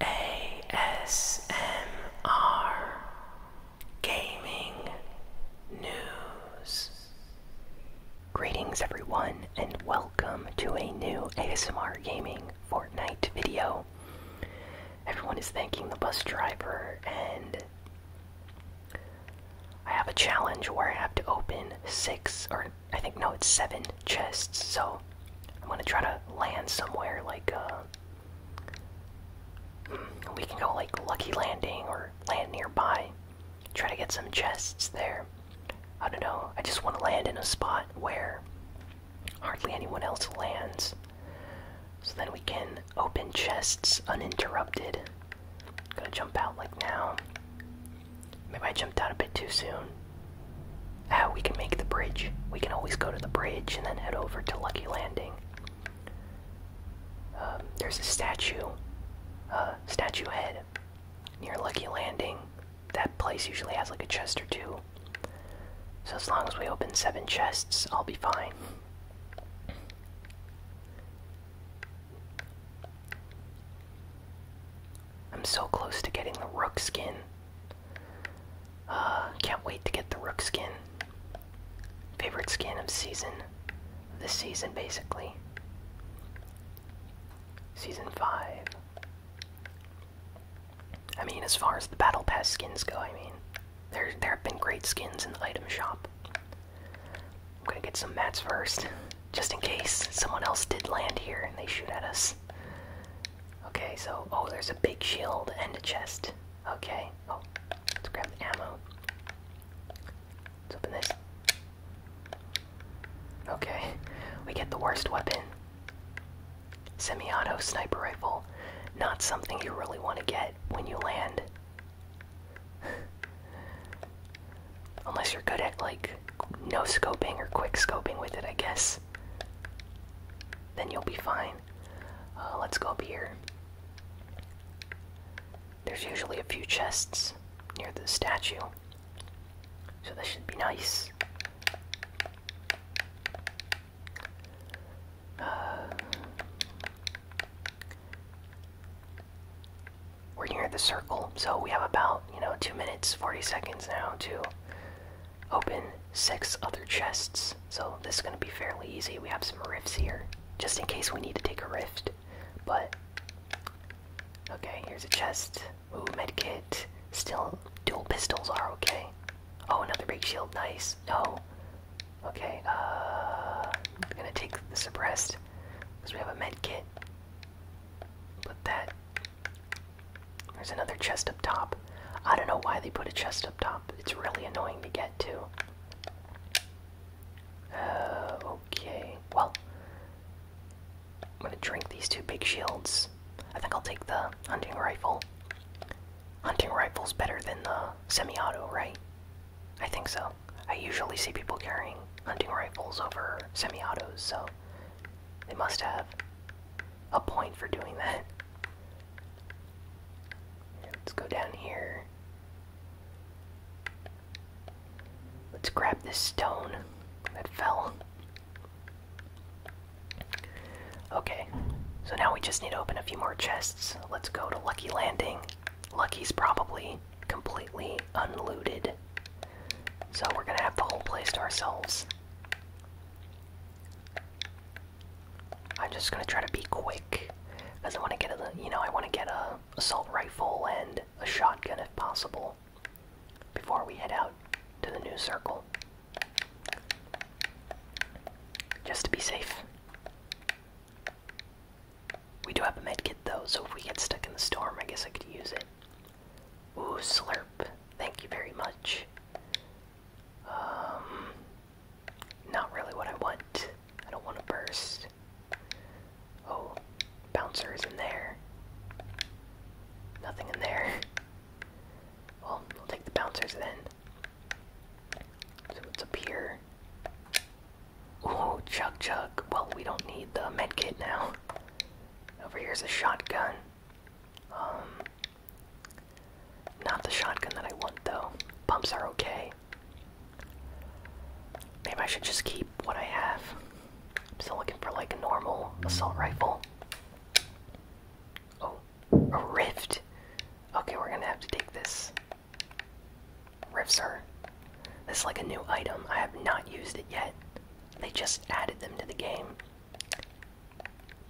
ASMR Gaming News. Greetings, everyone, and welcome to a new ASMR Gaming Fortnite video. Everyone is thanking the bus driver, and I have a challenge where I have to open six or I think no, it's seven chests. So I'm gonna try to land somewhere like uh, hmm, we can go like lucky landing or land nearby. Try to get some chests there. I don't know. I just want to land in a spot where hardly anyone else lands. So then we can open chests uninterrupted. I'm gonna jump out like now. Maybe I jumped out a bit too soon. Ah, we can make the bridge. We can always go to the bridge and then head over to Lucky Landing. Uh, there's a statue, uh, statue head near Lucky Landing. That place usually has like a chest or two. So as long as we open seven chests, I'll be fine. I'm so close to getting the rook skin. Uh, can't wait to get the rook skin. Favorite skin of season. This season, basically. Season 5. I mean, as far as the Battle Pass skins go, I mean, there, there have been great skins in the item shop. I'm gonna get some mats first, just in case someone else did land here and they shoot at us. Okay, so oh, there's a big shield and a chest. Okay, oh, let's grab the ammo. Let's open this. Okay, we get the worst weapon. Semi-auto sniper rifle. Not something you really want to get when you land. Unless you're good at like no scoping or quick scoping with it, I guess then you'll be fine. Uh, let's go up here. There's usually a few chests near the statue, so this should be nice. Uh, we're near the circle, so we have about, you know, 2 minutes, 40 seconds now to open six other chests. So this is going to be fairly easy. We have some rifts here, just in case we need to take a rift. But okay, here's a chest. Ooh, medkit. Still, dual pistols are okay. Oh, another big shield. Nice. No. Okay. Uh, I'm gonna take the suppressed because we have a medkit. Put that there's another chest up top. I don't know why they put a chest up top. It's really annoying to get to. Uh, okay. Well, I'm gonna drink these two big shields. I think I'll take the hunting rifle. Hunting rifle's better than the semi-auto, right? I think so. I usually see people carrying hunting rifles over semi-autos, so they must have a point for doing that. Let's go down here. Let's grab this stone that fell. Okay, so now we just need to open a few more chests. Let's go to Lucky Landing. Lucky's probably completely unlooted. So we're gonna have the whole place to ourselves. I'm just gonna try to be quick, because I want to get a, you know, I want to get a assault rifle and a shotgun if possible, before we head out to the new circle, just to be safe. We do have a medkit though, so if we get stuck in the storm, I guess I could use it. Ooh, slurp! Thank you very much. Um, not really what I want. I don't want a burst. Oh, bouncers in there. Nothing in there. Well, we'll take the bouncers then. So it's a pier. Ooh, chug chug. Well, we don't need the medkit now. Over here's a shotgun. Um, not the shotgun that I want, though. Bumps are okay. Maybe I should just keep what I have. I'm still looking for like a normal assault rifle. Oh, a rift. Okay, we're gonna have to take this. Rifts are. This is like a new item. I have not used it yet. They just added them to the game.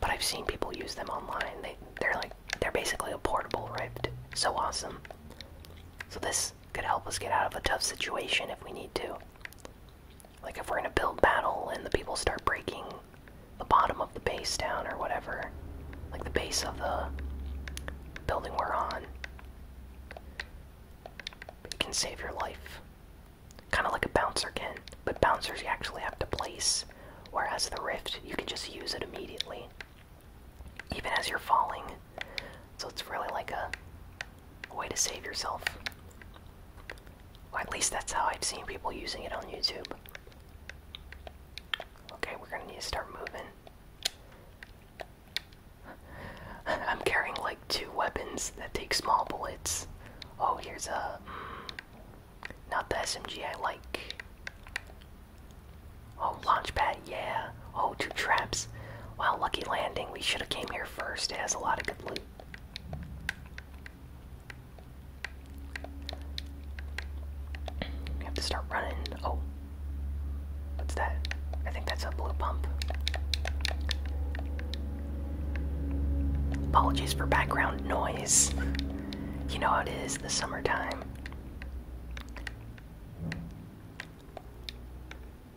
But I've seen people use them online. They they're like they're basically a portable rift. So awesome. So this could help us get out of a tough situation if we need to. Like if we're in a build battle and the people start breaking the bottom of the base down or whatever. Like the base of the building we're on. It can save your life. Kind of like a bouncer can, but bouncers you actually have to place, whereas the rift, you can just use it immediately, even as you're falling. So it's really like a, way to save yourself. at least that's how I've seen people using it on YouTube. Okay, we're gonna need to start moving. I'm carrying like two weapons that take small bullets. Oh, here's a. Hmm. Not the SMG I like. Oh, launchpad, yeah. Oh, two traps. Wow, lucky landing. We should have came here first. It has a lot of good loot. We have to start running. Oh. What's that? I think that's a blue pump. Apologies for background noise. You know how it is, the summertime.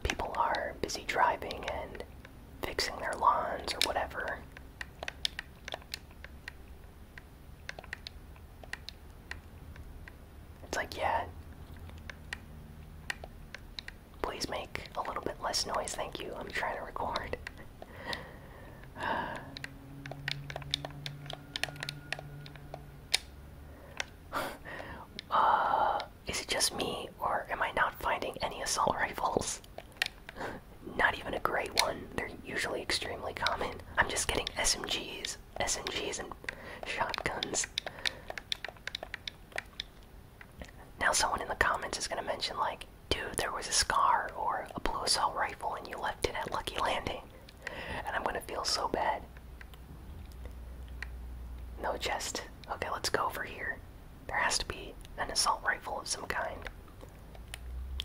People are busy driving and fixing their lawns or whatever. It's like, yeah. Please make a little bit less noise, thank you. I'm trying to record. uh, is it just me, or am I not finding any assault rifles? not even a great one. They're usually extremely common. I'm just getting SMGs, SMGs, and shotguns. Now, someone in the comments is gonna mention, like, dude, there was a scar or a blue assault rifle and you left it at Lucky Landing. And I'm gonna feel so bad. No chest. Okay, let's go over here. There has to be an assault rifle of some kind.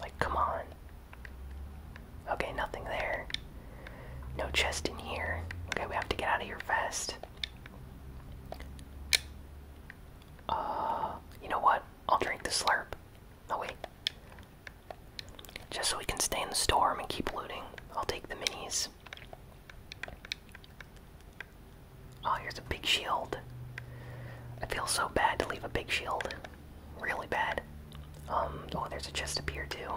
Like, come on. Okay, nothing there. No chest in here. Okay, we have to get out of here fast. Uh, you know what? I'll drink the slurp. No, oh, wait. Just so we can stay in the storm and keep looting. I'll take the minis. Oh, here's a big shield. I feel so bad to leave a big shield. Really bad. Um, oh, there's a chest up here, too.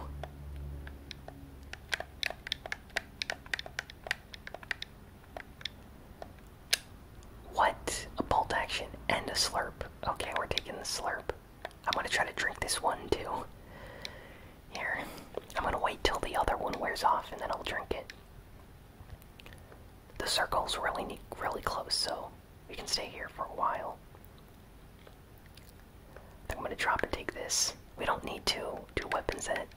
What? A bolt action and a slurp. Okay, we're taking the slurp. I'm gonna try to drink this one too. Here, I'm gonna wait till the other one wears off and then I'll drink it. The circle's really, really close, so we can stay here for a while. I am gonna drop and take this. We don't need to do weapons that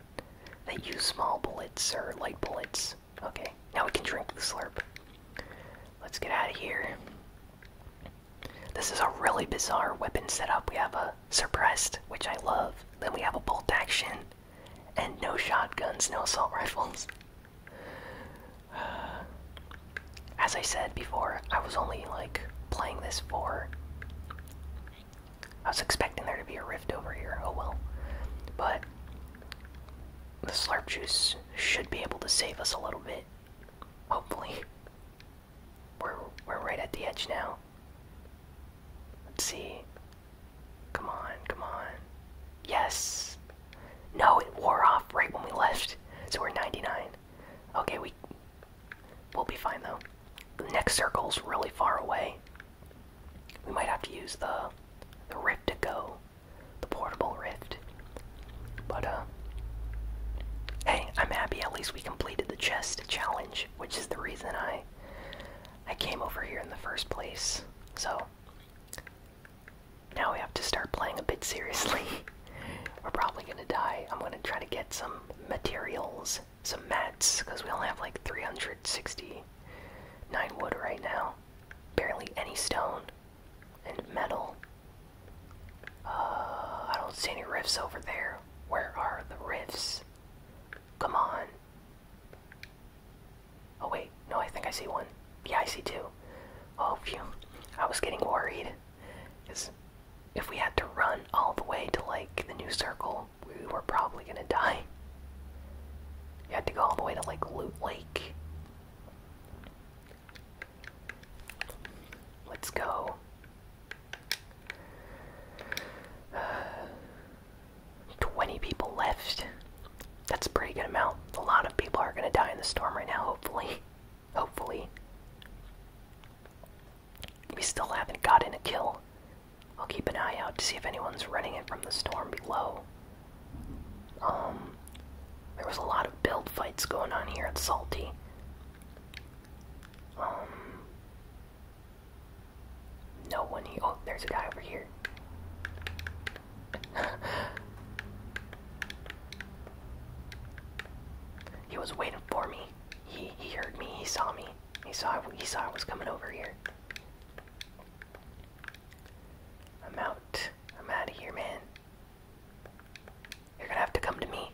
that use small bullets or light bullets. Okay, now we can drink the slurp. Let's get out of here. This is a really bizarre weapon setup. We have a suppressed, which I love. Then we have a bolt action, and no shotguns, no assault rifles. as I said before, I was only like playing this for. I was expecting there to be a rift over here. Oh well, but the slurp juice should be able to save us a little bit. Hopefully. We're we're right at the edge now. Let's see. Come on, come on. Yes. No, it wore off right when we left. So we're 99. Okay, we we'll be fine though. The next circle's really far away. We might have to use the the rift to go the portable rift. But uh hey, I'm happy at least we completed the chest challenge, which is the reason I I came over here in the first place. So now we have to start playing a bit seriously. We're probably gonna die. I'm gonna try to get some materials, some mats, because we only have like 369 wood right now. Barely any stone and metal. Uh, I don't see any rifts over there. Where are the rifts? Come on. Oh, wait. No, I think I see one. Yeah, I see two. Oh, phew. I was getting worried. Because if we had to run all the way to, like, the new circle, we were probably gonna die. You had to go all the way to, like, Loot Lake Let's go. 20 people left. That's a pretty good amount. A lot of people are going to die in the storm right now, hopefully. Hopefully. We still haven't gotten a kill. I'll keep an eye out to see if anyone's running it from the storm below. Um, there was a lot of build fights going on here at Salty. Um, no one here. Oh, there's a guy over here. he was waiting for me. He he heard me. He saw me. He saw he saw I was coming over here. I'm out. I'm out of here, man. You're gonna have to come to me.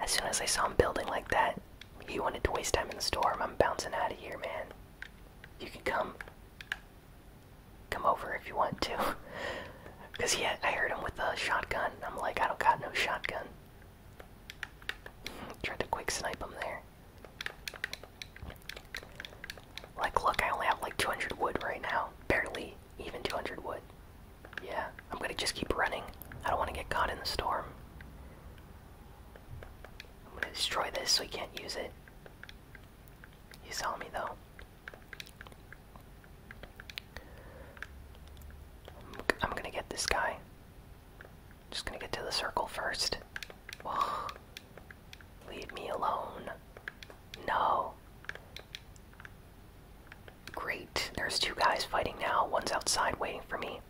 As soon as I saw him building like that, he wanted to waste time in the storm. I'm bouncing out of here, man. You can come. Come over if you want to. Cause yeah, I heard him with a shotgun. I'm like, I don't got no shotgun. Tried to quick snipe him there. Like, look, I only have like 200 wood right now. Barely even 200 wood. Yeah, I'm gonna just keep running. I don't wanna get caught in the storm. I'm gonna destroy this so he can't use it. You saw me though. I'm gonna get this guy. Just gonna get to the circle first. Leave me alone. No. Great. There's two guys fighting now. One's outside waiting for me.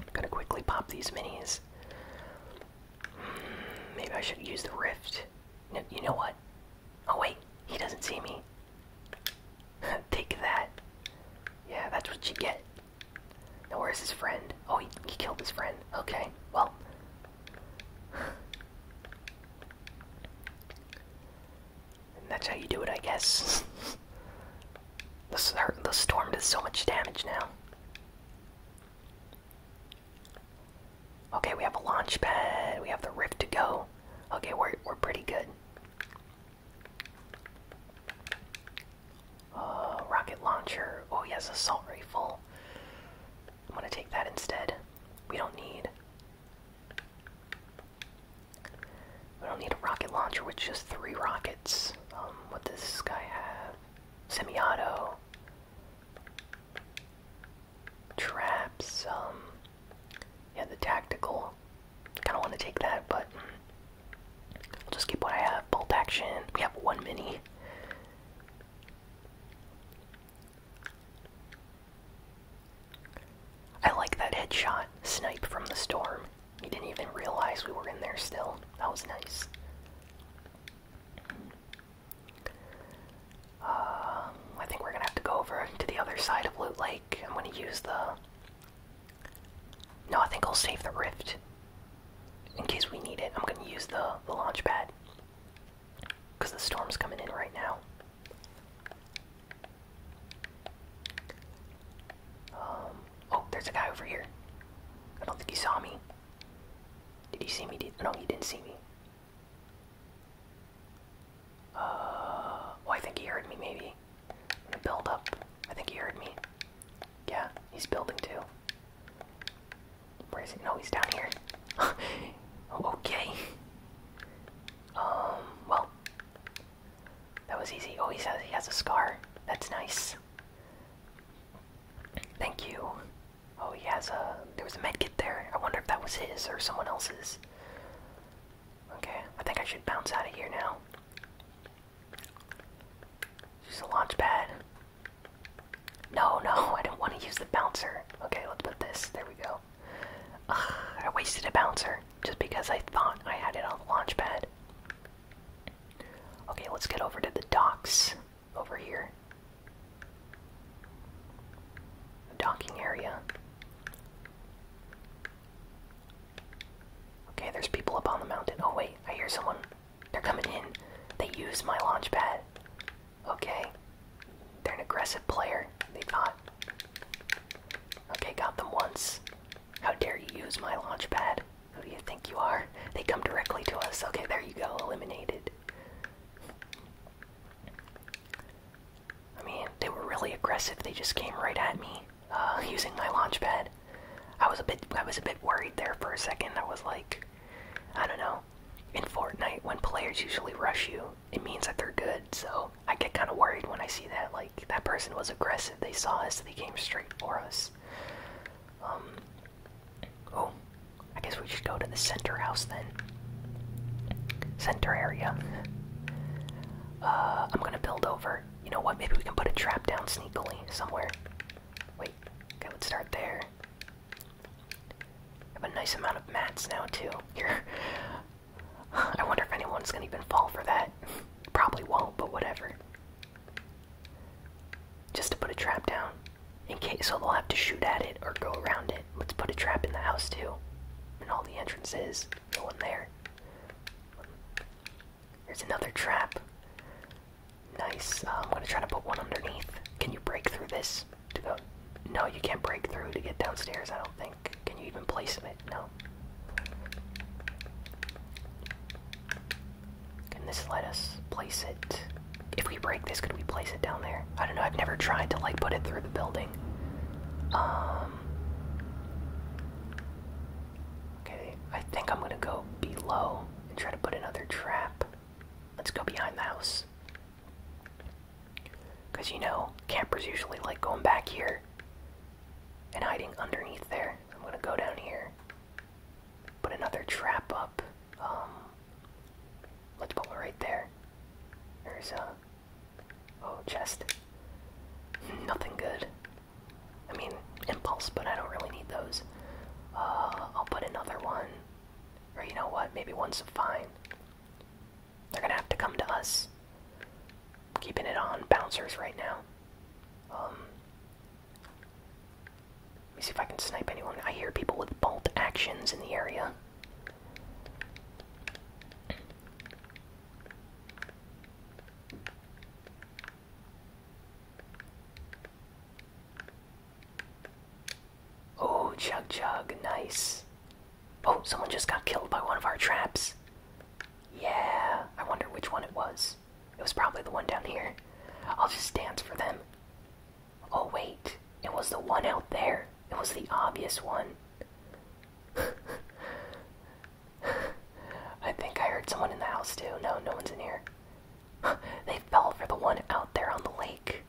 I'm gonna quickly pop these minis. Hmm, maybe I should use the rift. No, you know what? Oh, wait. He doesn't see me. Take that. Yeah, that's what you get. Now, where's his friend? Oh, he, he killed his friend. Okay, well, that's how you do it, I guess. the, storm does so much damage now. Okay, we have a launch pad. We have the rift to go. Okay, we're we're pretty good. Uh, rocket launcher. Oh, yes, assault rifle. I'm gonna take that instead. We don't need we don't need a rocket launcher with just three rockets. Um, what does this guy have? Semi-auto. Traps, um, yeah, the tactical. Kinda wanna take that, but I'll just keep what I have. Bolt action. We have one mini. I like that headshot snipe from the storm. He didn't even realize we were in there still. That was nice. Uh, I think we're gonna have to go over to the other side of Loot Lake. I'm gonna use the. No, I think I'll save the rift. In case we need it, I'm gonna use the launch pad. Because the storm's coming in right now. Um, oh, there's a guy over here. I don't think he saw me. Did he see me? Did, no, he didn't see me. Uh, oh, I think he heard me, maybe. i I think he heard me. Yeah, he's building too. Where is he? No, he's down here. Oh, okay. Um, well. That was easy. Oh, he says he has a scar. That's nice. Thank you. Oh, he has a. There was a medkit there. I wonder if that was his or someone else's. Okay, I think I should bounce out of here now. Use a launch pad. No, no, I don't want to use the bouncer. Okay, let's put this. There we go. Ugh, I wasted a bouncer just because I thought I had it on the launch pad. Okay, let's get over to the docks over here. The docking area. Okay, there's people up on the mountain. Oh wait, I hear someone. They're coming in. They use my launch pad. Okay. They're an aggressive player. They've not. Okay, got them once. How dare you use my launch pad? Who do you think you are? They come directly to us. Okay, there you go. Eliminated. I mean, they were really aggressive. They just came right at me uh, using my launch pad. I was a bit, I was a bit worried there for a second. I was like, I don't know in Fortnite, when players usually rush you, it means that they're good. So I get kind of worried when I see that. Like that person was aggressive. They saw us. They came straight for us. Um. Oh, I guess we should go to the center house then. Center area. Uh, I'm gonna build over. You know what? Maybe we can put a trap down sneakily somewhere. Wait. Okay, let's start there. I have a nice amount of mats now too. Here, I wonder if anyone's gonna even fall for that. Probably won't, but whatever. Just to put a trap down, in case so they'll have to shoot at it or go around it. Let's put a trap in the house too, and all the entrances. No one there. There's another trap. Nice. Um, I'm gonna try to put one underneath. Can you break through this? to go. No, you can't break through to get downstairs, I don't think. Can you even place it? No. Can this let us place it? If we break this, could we place it down there? I don't know, I've never tried to like put it through the building. Um. Okay, I think I'm gonna go below and try to put another trap. Let's go behind the house. Because you know, campers usually like going back here and hiding underneath there. I'm gonna go down here, put another trap up. Um, let's put one right there. There's a. Oh, chest. Nothing good. I mean, impulse, but I don't really need those. Uh, I'll put another one or you know what? Maybe one's fine. They're gonna have to come to us. keeping it on bouncers right now. Um. Let me see if I can snipe anyone. I hear people with bolt actions in the area. Oh, chug chug, nice. Oh, someone just got killed by one of our traps. Yeah, I wonder which one it was. It was probably the one down here. I'll just dance for them. Oh, wait, it was the one out there. It was the obvious one. I think I heard someone in the house too. No, no one's in here. they fell for the one out there on the lake.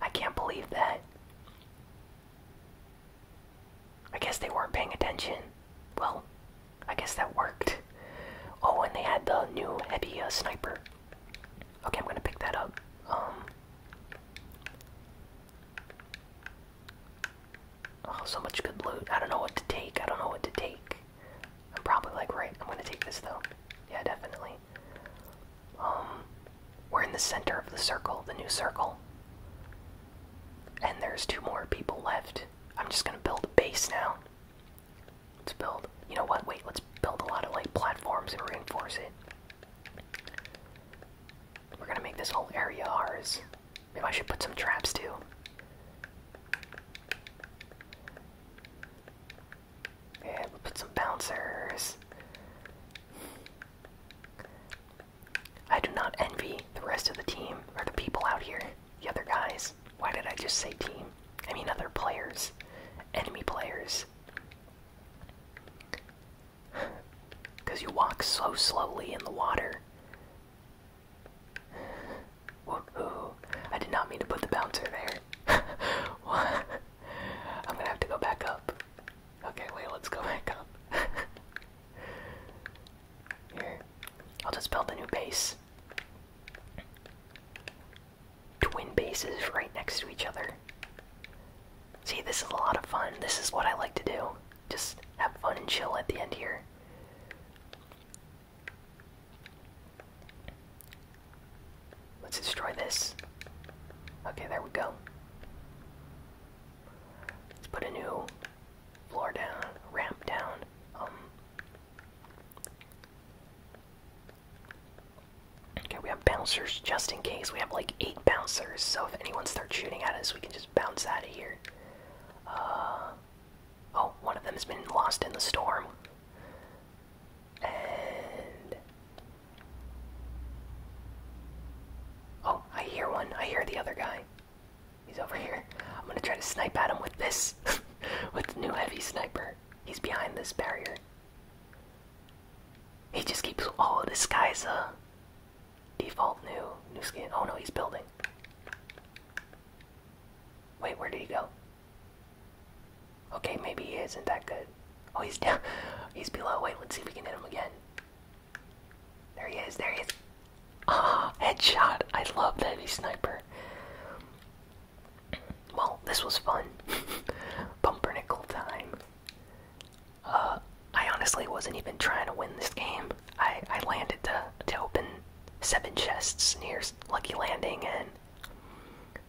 I can't believe that. I guess they weren't paying attention. Well, I guess that worked. Oh, and they had the new heavy uh, sniper. Okay, I'm gonna pick that up. Um. Oh, so much good loot. I don't know what to take. I don't know what to take. I'm probably like, right, I'm gonna take this though. Yeah, definitely. Um, we're in the center of the circle, the new circle. And there's two more people left. I'm just gonna build a base now. Let's build. You know what? Wait, let's build a lot of like platforms and reinforce it. We're gonna make this whole area ours. Maybe I should put some traps too. Yeah, we'll put some bouncers. I do not envy the rest of the team or the people out here, the other guys. Why did I just say team? I mean other players, enemy players. Because you walk so slowly in the water. Woohoo. I did not mean to put the bouncer there. what? I'm gonna have to go back up. Okay, wait, let's go back up. Here. I'll just build a new base. Twin bases right next to each other. See, this is a lot of fun. This is what I like to do. Just have fun and chill at the end here. Let's destroy this. Okay, there we go. Let's put a new floor down, ramp down. Um. Okay, we have bouncers just in case. We have like eight bouncers, so if anyone starts shooting at us, we can just bounce out of here. Uh, oh, one of them has been lost in the storm oh, I hear one. I hear the other guy. He's over here. I'm gonna try to snipe at him with this, with the new heavy sniper. He's behind this barrier. He just keeps. Oh, this guy's a uh, default new new skin. Oh no, he's building. Wait, where did he go? Okay, maybe he isn't that good. Oh, he's down. He's below. Wait, let's see if we can hit him again. There he is. There he is. Ah, headshot. I love that he sniper. Well, this was fun. Bumper nickel time. Uh, I honestly wasn't even trying to win this game. I I landed to to open seven chests near Lucky Landing and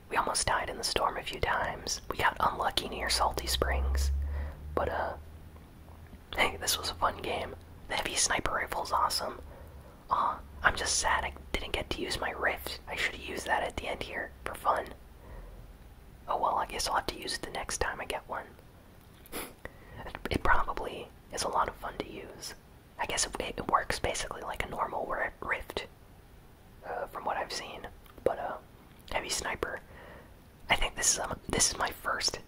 we almost died in the storm a few times. We got unlucky near Salty Springs. But, uh, hey, this was a fun game. The heavy sniper rifle is awesome. Aw, I'm just sad I didn't get to use my rift. I should've used that at the end here, for fun. Oh well, I guess I'll have to use it the next time I get one. it probably is a lot of fun to use. I guess it works basically like a normal rift. Uh, from what I've seen. But uh, heavy sniper. I think this is um, this is my first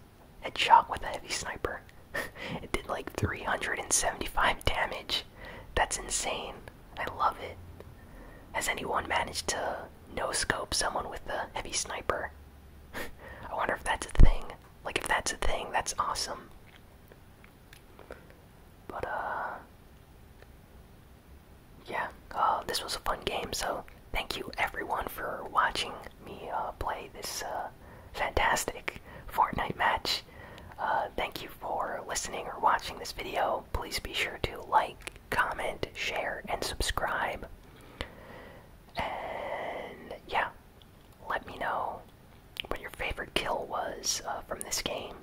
headshot with a heavy sniper. it did like 375 damage. That's insane. I love it. Has anyone managed to no scope someone with a heavy sniper? I wonder if that's a thing. Like if that's a thing, that's awesome. But uh yeah, uh, this was a fun game. So thank you everyone for watching me uh, play this uh, fantastic Fortnite match. thank you for listening or watching this video. Please be sure to like, comment, share, and subscribe. And yeah, let me know what your favorite kill was from this game.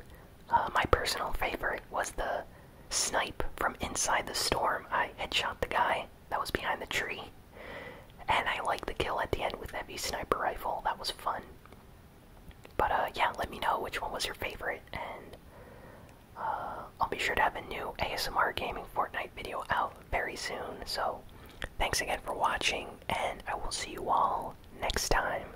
Uh, my personal favorite was the snipe from inside the storm. I headshot the guy that was behind the tree. And I liked the kill at the end with heavy sniper rifle. That was fun. But uh, yeah, let me know which one was your favorite, and uh, I'll be sure to have a new ASMR gaming Fortnite video out very soon. So thanks again for watching, and I will see you all next time.